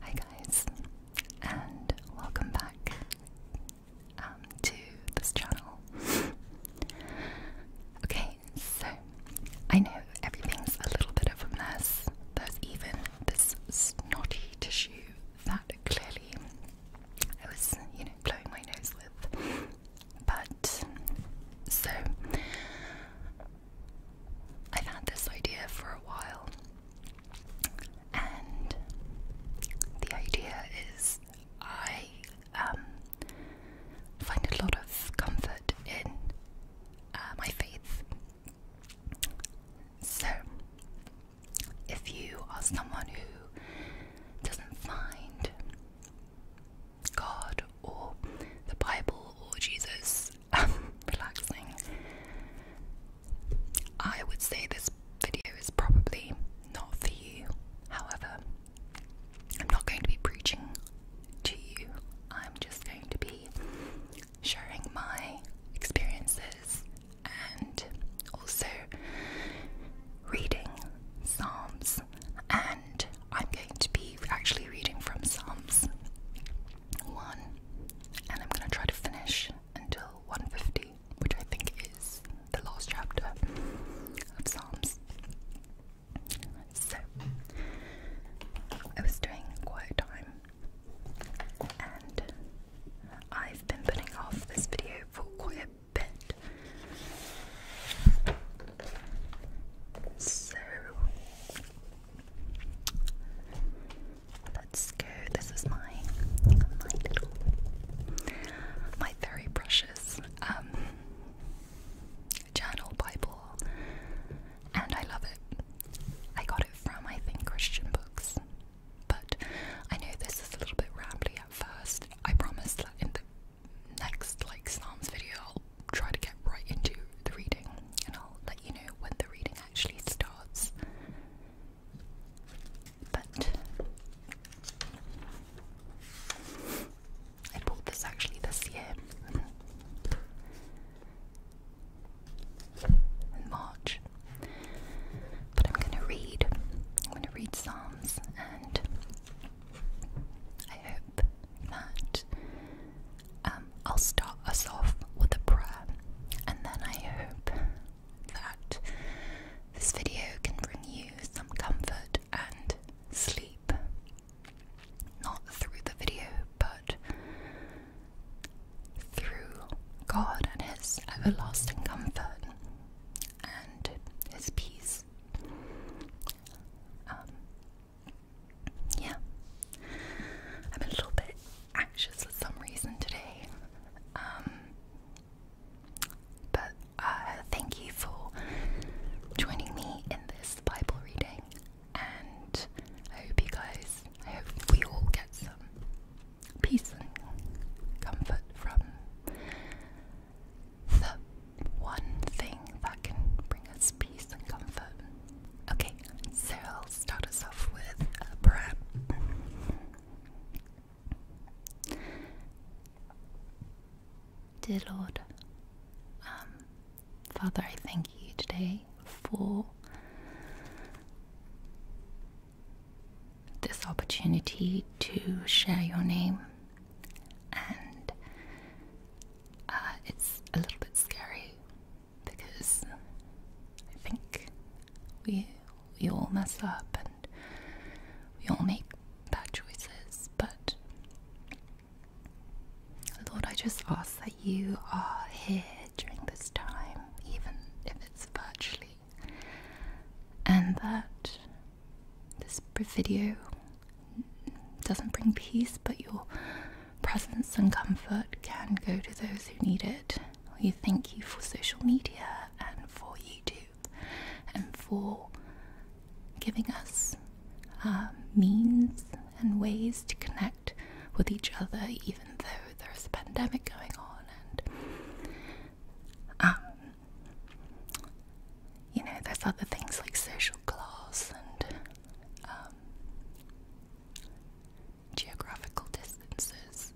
Hi guys, and welcome back um, to this channel. okay, so I know everything's a little bit of a mess. There's even this snotty tissue that clearly I was, you know, blowing my nose with. But so I've had this idea for a while, and the idea is I um, find a lot of comfort in uh, my faith. So, if you are someone who doesn't find God or the Bible or Jesus relaxing. I would say this video is probably not for you. However, I'm not going to be preaching to you. I'm just going to be sharing my experiences and also reading Psalms. And I'm going to be actually reading from Psalms one, and I'm gonna try to finish until 150, which I think is the last chapter of Psalms. So I was doing quiet time, and I've been putting off this video for quite a bit. So Let's go. This is my my little my very precious um journal Bible, and I love it. I got it from I think Christian Books, but I know this is a little bit rambling at first. I promise that in the next like Psalms video, I'll try to get right into the reading, and I'll let you know when the reading actually starts. But I bought this actually this year in March. But I'm going to read. I'm going to read Psalms, and I hope that um, I'll start us off with a prayer, and then I hope that this video can bring you some comfort and sleep. Not through the video, but through God and His everlasting comfort and His peace. Um, yeah, I'm a little bit anxious for some reason today. Um, but uh, thank you for joining me in this Bible reading, and I hope you guys, I hope we all get some peace and comfort from the one thing that can bring us peace and comfort. Okay, so I'll start us off with a prep. Dear Lord, um, Father, I thank you today for this opportunity to share your name, and uh, it's a little bit scary because I think we we all mess up and we all make bad choices, but Lord, I just ask that you are here during this time, even if it's virtually, and that this video doesn't bring peace, but you're Presence and comfort can go to those who need it. We thank you for social media and for YouTube and for giving us uh, means and ways to connect with each other, even though there is a pandemic going on. And um, you know, there's other things like social class and um, geographical distances.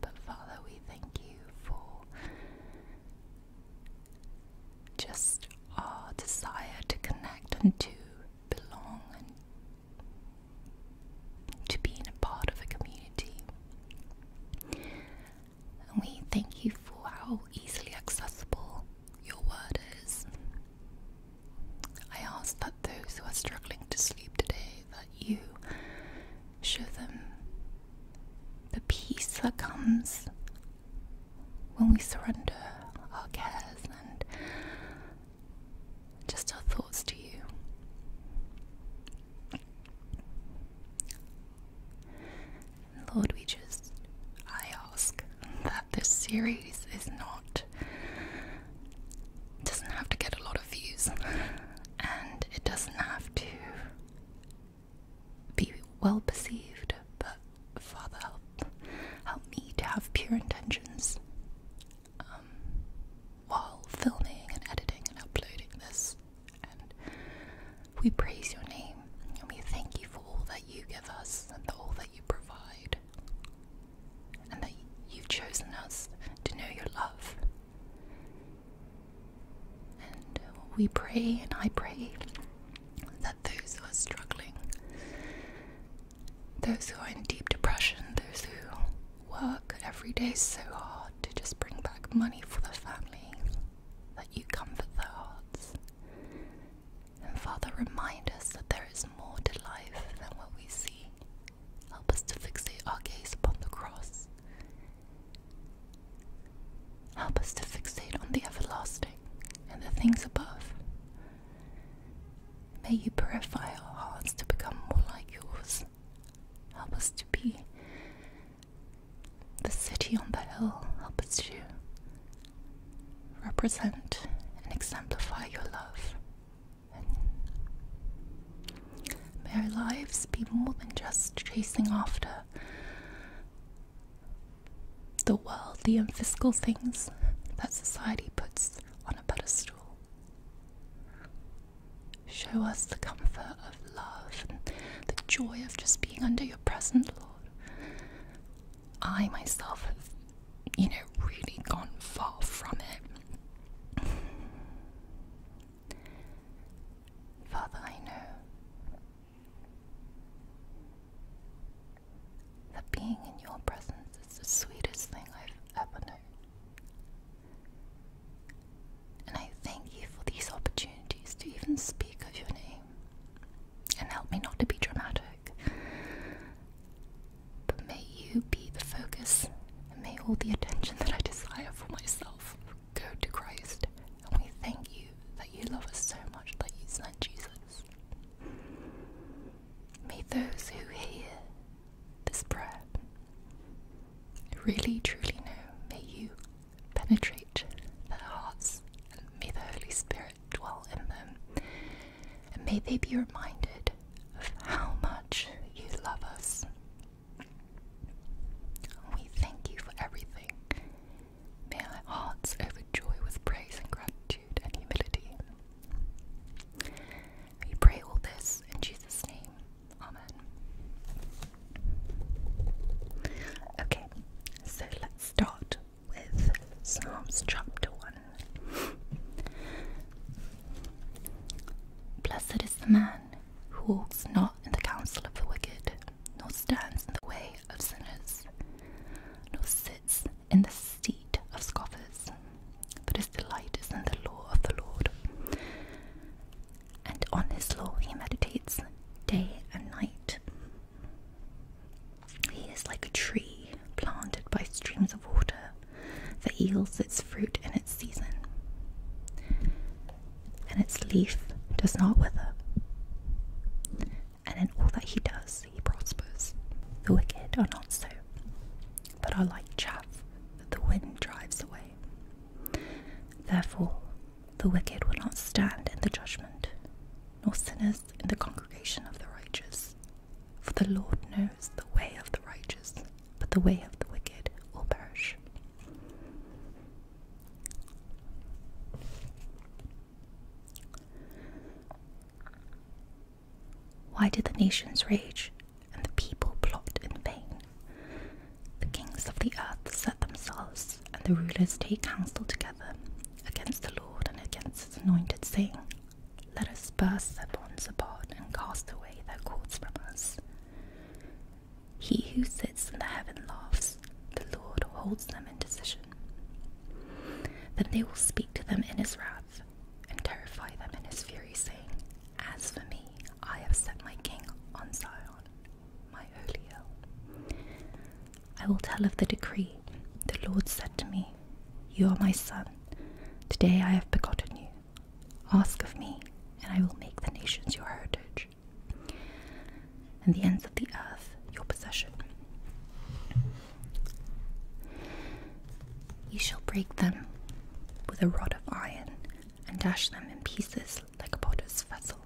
But Father, we thank you for just our desire to connect and to belong and to being a part of a community. And we thank you for how easily accessible your word is. I ask that those who are struggling to sleep today, that you show them the peace that comes when we surrender our cares and just our thoughts to you. Lord, we just, I ask that this series is not doesn't have to get a lot of views and it doesn't have to be well perceived, but Father help help me to have pure intentions um, while filming and editing and uploading this. And we praise your name and we thank you for all that you give us and all that you provide and that you've chosen us to know your love. And uh, we pray, and I pray, that those who are struggling, those who are in deep depression, those who work every day so hard to just bring back money for the family, that you comfort their hearts. And Father, remind us that there is more to life than what we see. Help us to fixate our gaze upon the cross. Help us to fixate on the everlasting and the things above. May you purify our hearts to become more like yours. Help us to be the city on the hill. Help us to represent and exemplify your love May our lives be more than just chasing after the worldly and physical things that society puts on a pedestal. Show us the comfort of love the joy of just being under your presence, Lord. I myself you know, really gone far from it. Father, I know that being in your presence is the sweetest thing I've ever known. And I thank you for these opportunities to even speak of your name and help me not to be dramatic. But may you be the focus, and may all the attention that I desire for myself go to Christ. And we thank you that you love us so much that you sent Jesus. May those who hear this prayer really truly know, may you penetrate their hearts, and may the Holy Spirit dwell in them, and may they be reminded of how much you love us. We thank you for everything. May our hearts overjoy with praise and gratitude and humility. We pray all this in Jesus' name. Amen. Okay, so let's start with Psalms chapter 1. Blessed is the man who walks not in the counsel of the wicked, nor stands in the way of sinners, nor sits in the seat of scoffers, but his delight is in the law of the Lord. And on his law he meditates day and night. He is like a tree planted by streams of water that yields its fruit in its season, and its leaf does not wither. And in all that he does, he prospers. The wicked are not so, but are like chaff that the wind drives away. Therefore, the wicked will not stand in the judgment, nor sinners in the congregation of the righteous. For the Lord knows the way of the righteous, but the way of the wicked will perish. Why did the nations rage and the people plot in vain? The kings of the earth set themselves, and the rulers take counsel together against the Lord and against his anointed, saying, let us burst their bonds apart and cast away their cords from us. He who sits in the heaven laughs, the Lord holds them in decision. Then they will speak to them in his wrath, and terrify them in his fury, saying, As for me, I have set my king on Zion, my holy hill. I will tell of the decree. The Lord said to me, you are my son. Today I have begotten you. Ask of me, and I will make the nations your heritage, and the ends of the earth your possession. You shall break them with a rod of iron, and dash them in pieces like a potter's vessel.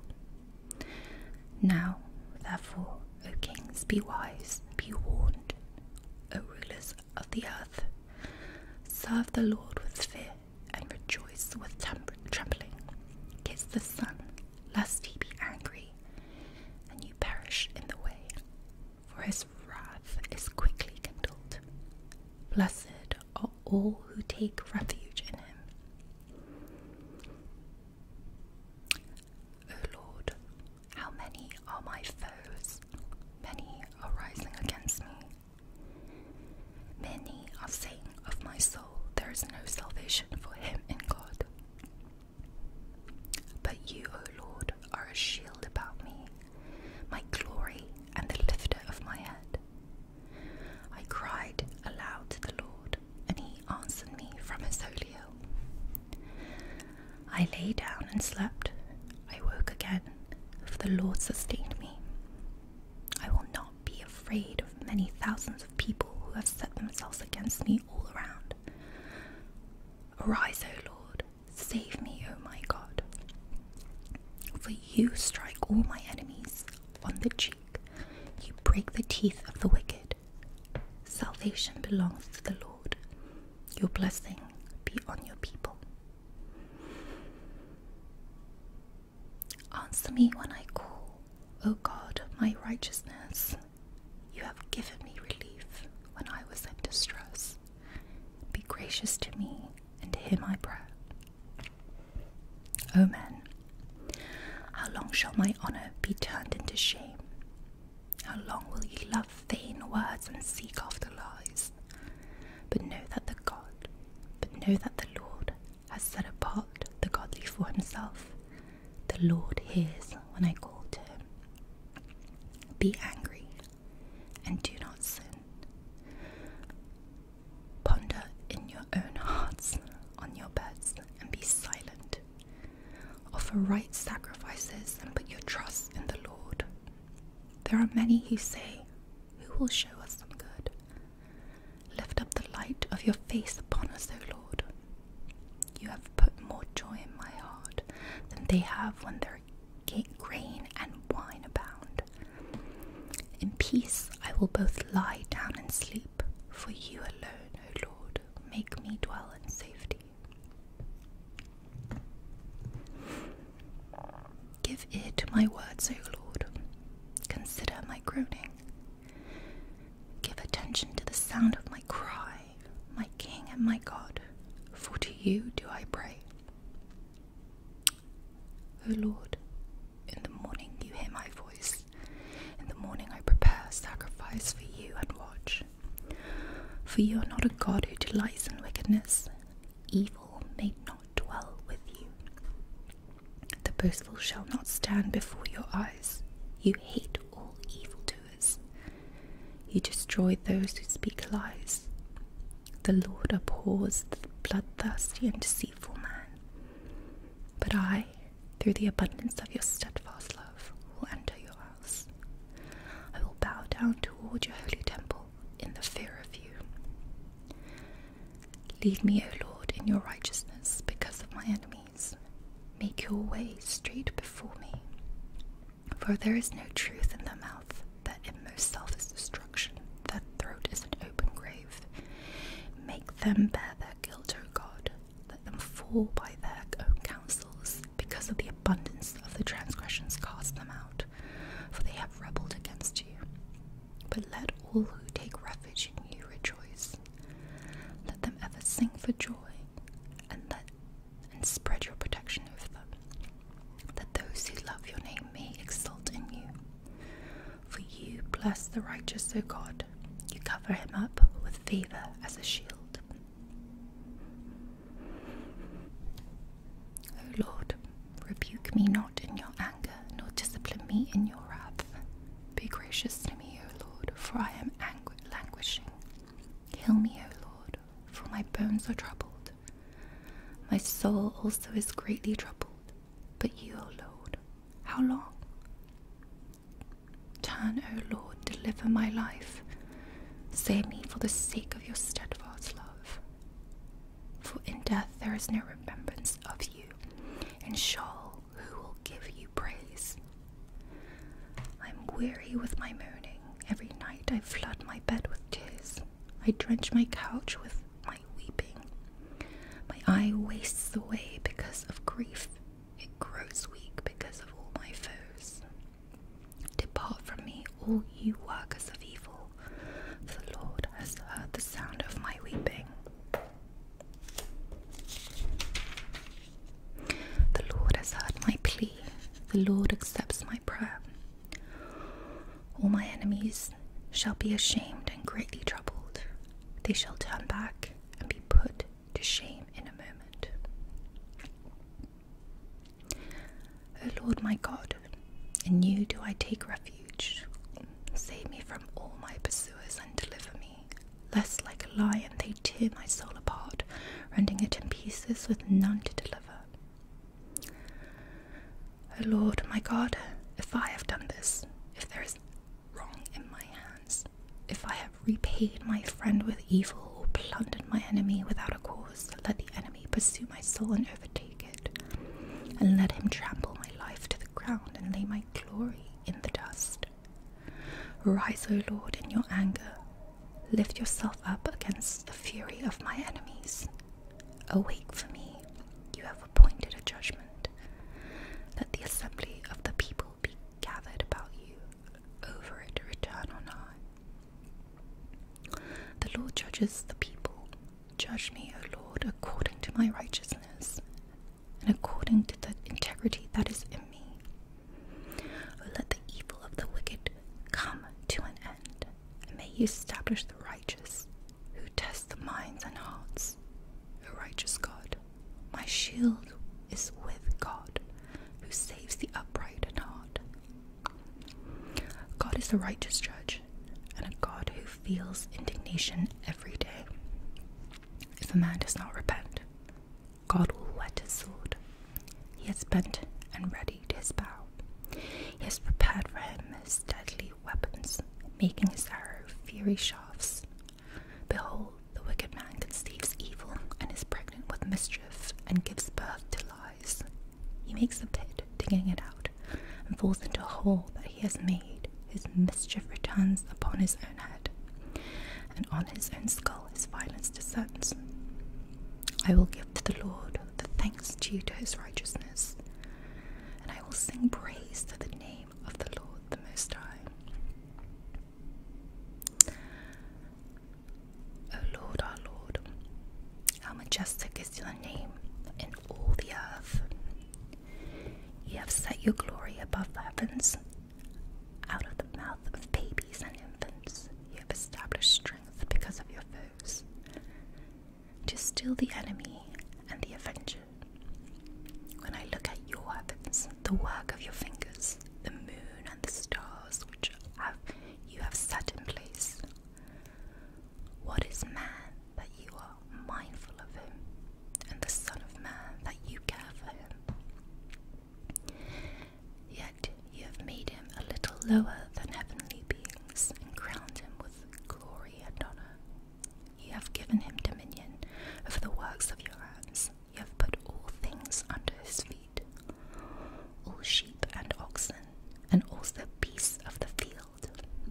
Now, therefore, O kings, be wise, be warned. O rulers, of the earth. Serve the Lord with fear and rejoice with trembling. Kiss the sun, lest he be angry and you perish in the way, for his wrath is quickly kindled. Blessed are all who take refuge in him. O Lord, how many are my foes? Many are rising against me. Many are saying of my soul, There is no salvation for him in God. But you, O Lord, are a shield about me, my glory and the lifter of my head. I cried aloud to the Lord, and he answered me from his holy hill. I lay down and slept. I woke again, for the Lord sustained me. I will not be afraid of many thousands of people who have set themselves against me all around. Arise, O Lord, save me, O my God. For you strike all my enemies on the cheek, you break the teeth of the wicked. Salvation belongs to the Lord. Your blessing be on your people. Answer me when I call, O God of my righteousness. You have given me relief when I was in distress. Be gracious to me and hear my prayer. O men, how long shall my honor be turned into shame? How long will ye love vain words and seek after lies? But know that the God, but know that the Lord has set apart the godly for himself. The Lord hears when I call to him. Be angry and do not sin. Ponder in your own hearts on your beds and be silent. Offer right sacrifices and put your trust in the Lord. There are many who say, Who will show us some good? Lift up the light of your face upon us, O Lord. You have put more joy in my heart than they have when their grain and wine abound. In peace I will both lie down and sleep, for you alone, O Lord, make me dwell in safety. Give ear to my words, O Lord. Consider my groaning. Give attention to the sound of my cry, my King and my God, for to you do I pray. O Lord, in the morning you hear my voice. In the morning I prepare sacrifice for you and watch. For you are not a God who delights in wickedness, evil may not dwell with you. The boastful shall not stand before your eyes. You hate all evildoers. You destroy those who speak lies. The Lord abhors the bloodthirsty and deceitful man. But I, through the abundance of your steadfast love, will enter your heart. I will bow down toward your holy temple in the fear of you. Lead me, O Lord, in your righteousness because of my enemies. Make your way straight before me. For there is no truth in their mouth, their inmost self is destruction, their throat is an open grave. Make them bear their guilt, O God, let them fall by their own counsels because of the abundance of the transgressions cast them out, for they have rebelled against you. But let all who take refuge in you rejoice. Let them ever sing for joy, and let and spread your protection over them. That those who love your name may exult in you. For you bless the righteous, O God. You cover him up with favor as a shield. O oh, Lord, rebuke me not in your anger, nor discipline me in your wrath. Be gracious to me, O Lord, for I am languishing. Kill me, O Lord, for my bones are troubled. My soul also is greatly troubled. But you, O Lord, how long? Turn, O Lord, deliver my life. Save me for the sake of your steadfast love. For in death there is no remembrance of you, and Shaul, who will give you praise. I am weary with my moaning. Every night I flood my bed with tears. I drench my couch with my weeping. My eye wastes away because of grief. It grows weak because of all my foes. Depart from me, all you workers of evil, the Lord has heard the sound of my weeping. The Lord has heard my plea, the Lord accepts my prayer. All my enemies shall be ashamed and greatly troubled, they shall turn back and be put to shame in a moment. O Lord my God, in you do I take refuge. Save me from all my pursuers and deliver me, lest like a lion they tear my soul apart, rending it in pieces with none to deliver. O Lord my God, if I have done this, if there is wrong in my hands, if I have repaid my friend with evil or plundered my enemy without a cause, let the enemy pursue my soul and overtake it, and let him trample my life to the ground and lay my glory in the dust. Rise, O Lord, in your anger, lift yourself up against the fury of my enemies. Awake for me, you have appointed a judgment. Let the assembly of the people be gathered about you, over it return or not. The Lord judges the people. Judge me, O Lord, according to my righteousness and according to the integrity that is in me. let the evil of the wicked come to an end, and may you establish the righteous who test the minds and hearts. O righteous God, my shield is with God, who saves the upright in heart. God is the righteous judge and a God who feels indignation every day. If a man does not repent, God will wet his sword. He has bent and readied his bow. He has prepared for him his deadly weapons, making his arrow fiery shafts. Behold, the wicked man conceives evil and is pregnant with mischief and gives birth to lies. He makes a pit, digging it out, and falls into a hole that he has made. His mischief returns upon his own head, and on his own skull his violence descends. I will give to the Lord the thanks due to his righteousness, and I will sing praise to the name of the Lord the Most High. O Lord, our Lord, how majestic is your name in all the earth. You have set your glory above the heavens. Out of the mouth of babies and infants, you have established strength because of your foes, to still the enemy and the avenger. When I look at your heavens, the work of your fingers, the moon and the stars which have you have set in place. What is man that you are mindful of him, and the Son of Man that you care for him? Yet you have made him a little lower than heavenly beings and crowned him with glory and honor. You have given him dominion over the works of your hands. You have put all things under his feet all sheep and oxen, and also beasts of the field,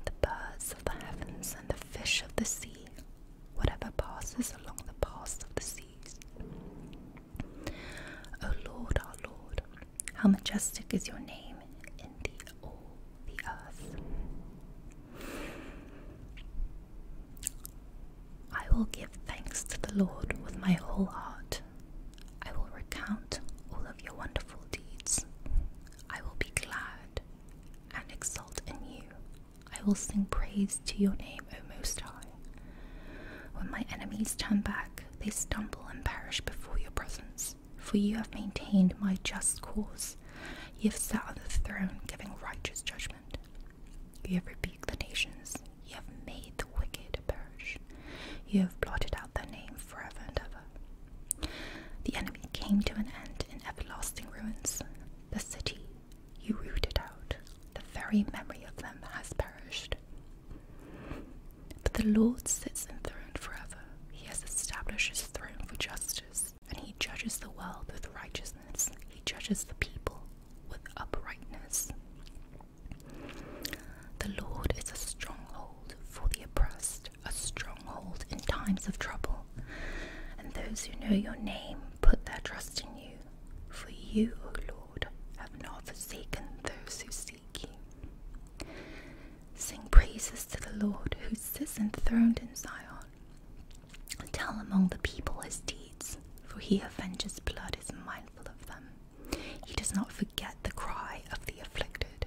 the birds of the heavens, and the fish of the sea, whatever passes along the paths of the seas. O Lord, our Lord, how majestic is your name in the all earth. I will give thanks to the Lord with my whole heart. I will recount all of your wonderful deeds. I will be glad and exult in you. I will sing praise to your name, O Most High. When my enemies turn back, they stumble and perish before your presence. For you have maintained my just cause. You have sat on the throne, giving righteous judgment. You have rebuked the nations. You have made the wicked perish. You have blotted out their name forever and ever. The enemy came to an end in everlasting ruins. The city you rooted out, the very memory of them has perished. But the Lord sits enthroned forever. He has established his throne for justice, and he judges the world with righteousness. He judges the people with uprightness. The Lord is a stronghold for the oppressed, a stronghold in times of trouble. And those who know your name put their trust in you. For you, O Lord, have not forsaken those who seek you. Sing praises to the Lord who sits enthroned in Zion. Tell among the people his deeds, for he avenges blood is mindful of them. He does not forget the cry of the afflicted.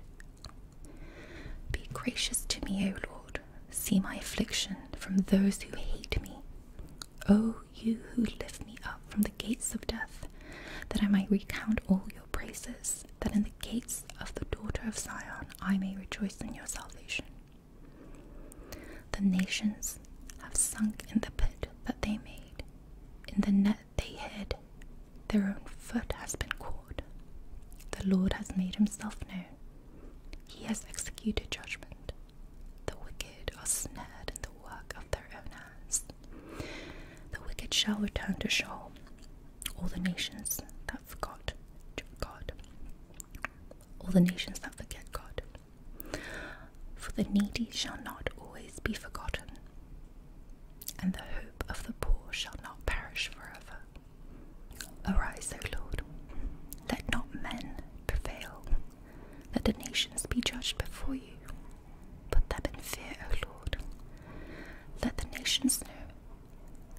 Be gracious to me, O Lord. See my affliction from those who hate me. O you who lift me up from the gates of death, that I might recount all your praises, that in the gates of the daughter of Zion I may rejoice in your salvation. The nations have sunk in the pit that they made, in the net they hid. Their own foot has been caught. The Lord has made himself known. He has executed judgment. The wicked are snared in the work of their own hands. The wicked shall return to shame. all the nations that forgot God, all the nations that forget God. For the needy shall not always be forgotten, and the hope of the poor shall not perish forever. Arise, O Lord, let not men prevail. Let the nations be judged before you. Put them in fear, O Lord. Let the nations know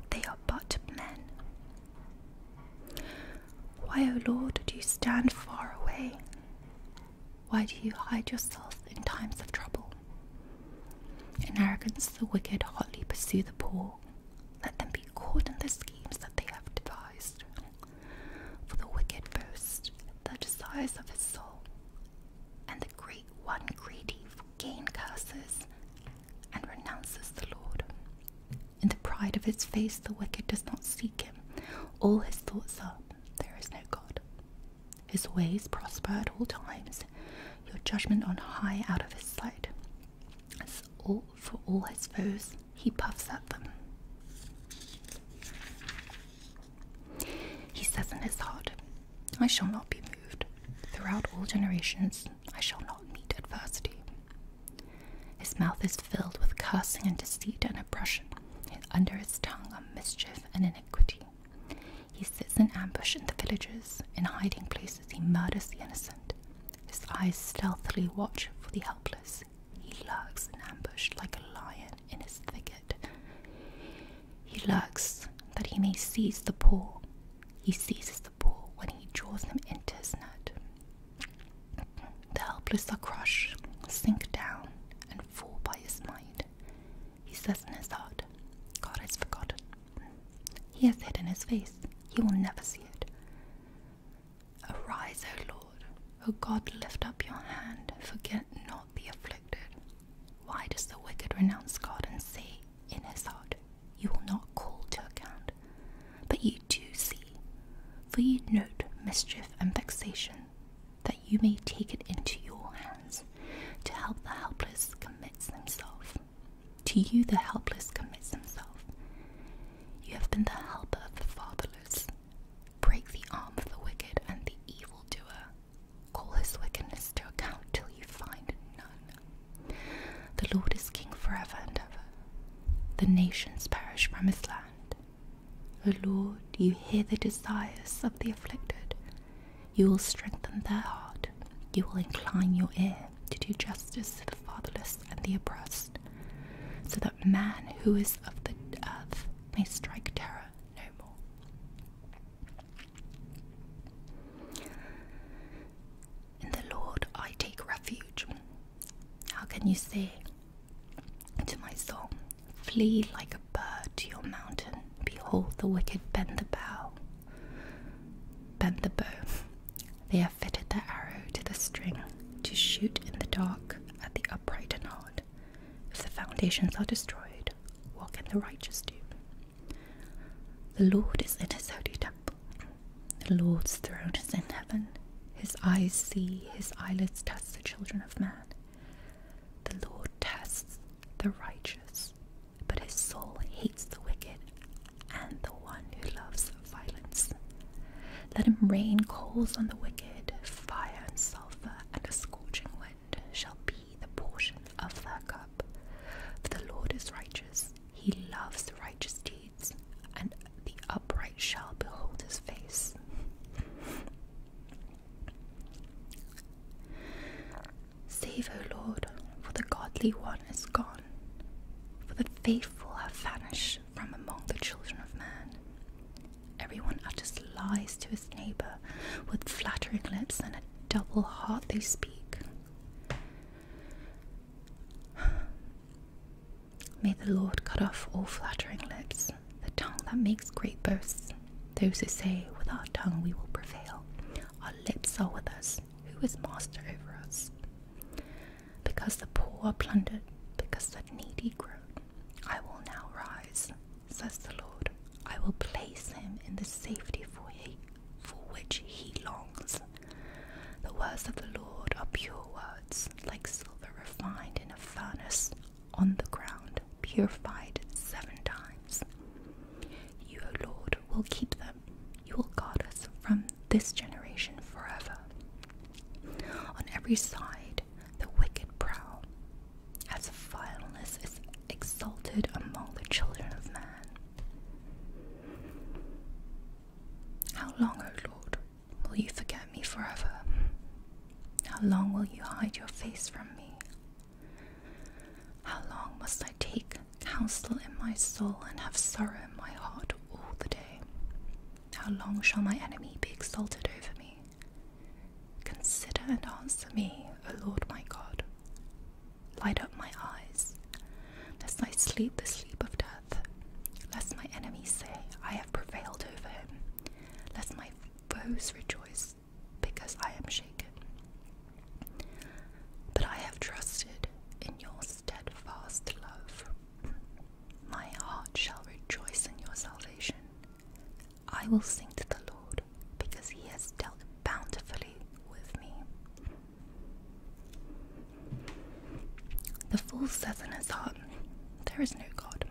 they are but men. Why, O Lord, do you stand far away? Why do you hide yourself in times of trouble? In arrogance, the wicked hotly pursue the poor. Let them be caught in the schemes that they have devised. For the wicked boast the desires of his soul, and the great one greedy for gain curses and renounces the Lord. In the pride of his face, the wicked does not seek him. All his thoughts are, There is no God. His ways prosper at all times, your judgment on high out of his sight. As all for all his foes, he puffs at them. He says in his heart, I shall not be moved. Throughout all generations, I shall not meet adversity. His mouth is filled with cursing and deceit and oppression. Under his tongue are mischief and an iniquity. He sits in ambush in the villages, in hiding places he murders the innocent. His eyes stealthily watch for the helpless. He lurks in ambush like a lion in his thicket. He lurks that he may seize the poor. He seizes the poor when he draws them into his net. The helpless are crushed, sink down, and fall by his might. He says in his heart, God has forgotten. He has hidden his face. He will never see it. Arise, O Lord. O God, lift up your hand. Forget not the afflicted. Why does the wicked renounce God and say in his heart, You will not call to account? But you do see, for you note mischief and vexation that you may take it into your hands to help the helpless commits himself. To you, the helpless commits himself. You have been the helper of the fatherless. Break the arm of the wicked and the evil doer. Call his wickedness to account till you find none. The Lord is king forever and ever. The nations perish from his land. O Lord, you hear the desires of the afflicted. You will strengthen their heart. You will incline your ear to do justice to the fatherless and the oppressed, so that man who is of the earth may strike terror no more. In the Lord I take refuge. How can you say to my soul, Flee like a bird to your mountain. Behold, the wicked bend the bow. Bend the bow. They have fitted their arrow to the string to shoot in the dark at the upright and hard. If the foundations are destroyed, what can the righteous do? The Lord is in his holy temple. The Lord's throne is in heaven. His eyes see, his eyelids test the children of man. The Lord tests the righteous, but his soul hates the wicked and the one who loves violence. Let him rain coals on the wicked, fire and sulfur and a scorching wind shall be the portion of their cup. For the Lord is righteous, he loves righteous deeds, and the upright shall behold his face. Save, O Lord, for the godly one is gone, for the faithful have vanished from among the children of man. Everyone utters lies to his neighbour, with flattering lips and a double heart they speak. May the Lord cut off all flattering lips the tongue that makes great boasts. Those who say, With our tongue we will prevail, our lips are with us, who is master over us? Because the poor are plundered, because the needy groan, I will now rise, says the Lord. I will place him in the safety for, he, for which he longs. The words of the Lord are pure words, like silver refined in a furnace, on the ground, purified seven times. You, O Lord, will keep them. You will guard us from this generation forever. On every side, the wicked prow, as vileness is exalted among the children of man. How long, O Lord, will you forget me forever? How long will you hide your face from me? How long must I take counsel in my soul and have sorrow in my heart all the day? How long shall my enemy be exalted over me? Consider and answer me, O Lord my God. Light up my eyes, lest I sleep the sleep of death, lest my enemies say, I have prevailed over him, lest my foes rejoice because I am shaken. But I have trusted in your steadfast love. My heart shall rejoice in your salvation. I will sing to the Lord because he has dealt bountifully with me. The fool says in his heart, There is no God.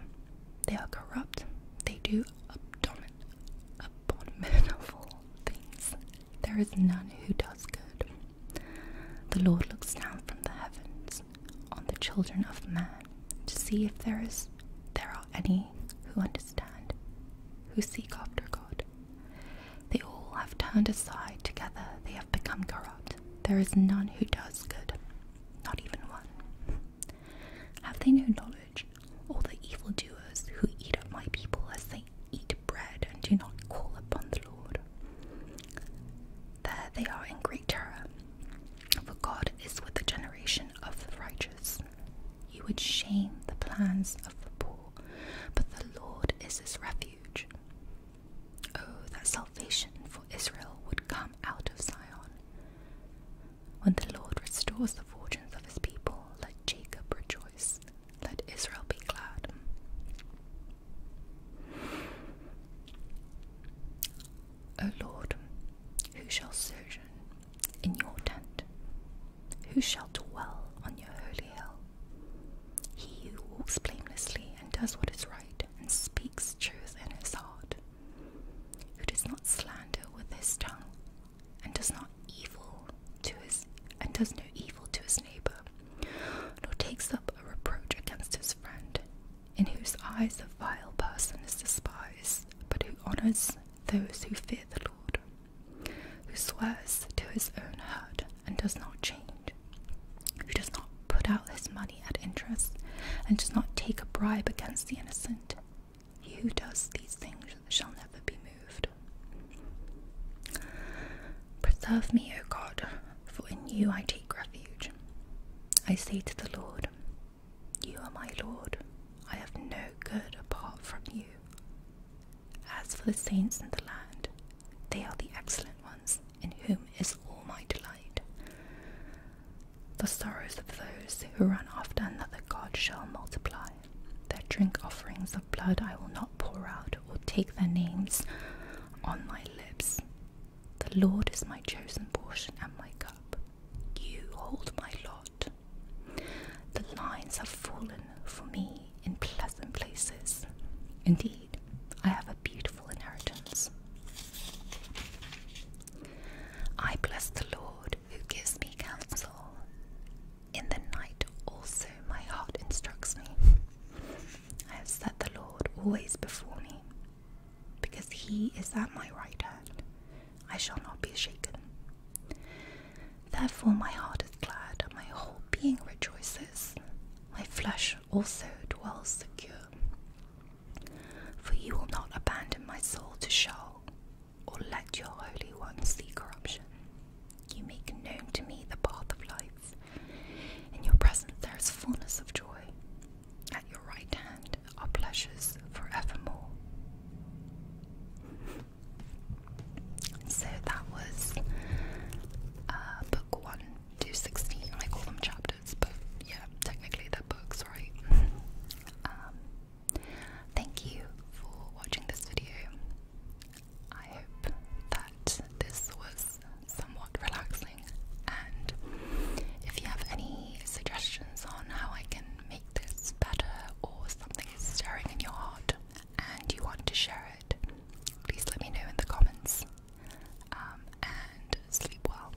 They are corrupt. They do abdomin abominable things. There is none who does good. The Lord looks down from the heavens on the children of man to see if there is there are any who understand, who seek after God. They all have turned aside together, they have become corrupt. There is none who does good, not even one. Have they no knowledge, all the evil doers who eat up my people as they eat bread and do not call upon the Lord? There they are in great terror, for God is with the generation of the righteous. You would shame the plans of the poor, but the Lord is his refuge. Oh, that salvation for Israel would come out of Zion. When the Lord restores the fortunes of his people, let Jacob rejoice, let Israel be glad. O Lord, who shall sojourn in your tent? Who shall dwell on your holy hill? He who walks blamelessly and does what is right and speaks truth in his heart, who does not slander with his tongue, and does not evil to his and does no evil to his neighbor, nor takes up a reproach against his friend, in whose eyes a vile person is despised, but who honors those who fear the Lord, who swears to his own hurt and does not change, who does not put out his money at interest, and does not take a bribe against the innocent. He who does these things shall never be moved. Preserve me, O God, for in you I take refuge. I say to the Lord, You are my Lord, I have no good apart from you. As for the saints in the land, they are the excellent ones, in whom is all my delight the sorrows of those who run after another God shall multiply. Their drink offerings of blood I will not pour out, or take their names on my lips. The Lord is my chosen portion and my cup. You hold my lot. The lines have fallen for me in pleasant places. Indeed, I have a beautiful inheritance. I bless the Lord who gives me counsel. In the night also my heart instructs me. I have set the Lord always before me. Because he is at my right hand, I shall not be shaken. Therefore my heart is glad, my whole being rejoices. My flesh also dwells secure. For you will not abandon my soul to Sheol, or let your Holy One see corruption. You make known to me the path of life. In your presence there is fullness of joy. At your right hand are pleasures forevermore. So that was uh, book 1 to I call them chapters, but yeah, technically they're books, right? Um, Thank you for watching this video. I hope that this was somewhat relaxing, and if you have any suggestions on how I can make this better or something is stirring in your heart and you want to share it, please let me know in the comments. Um, and sleep well.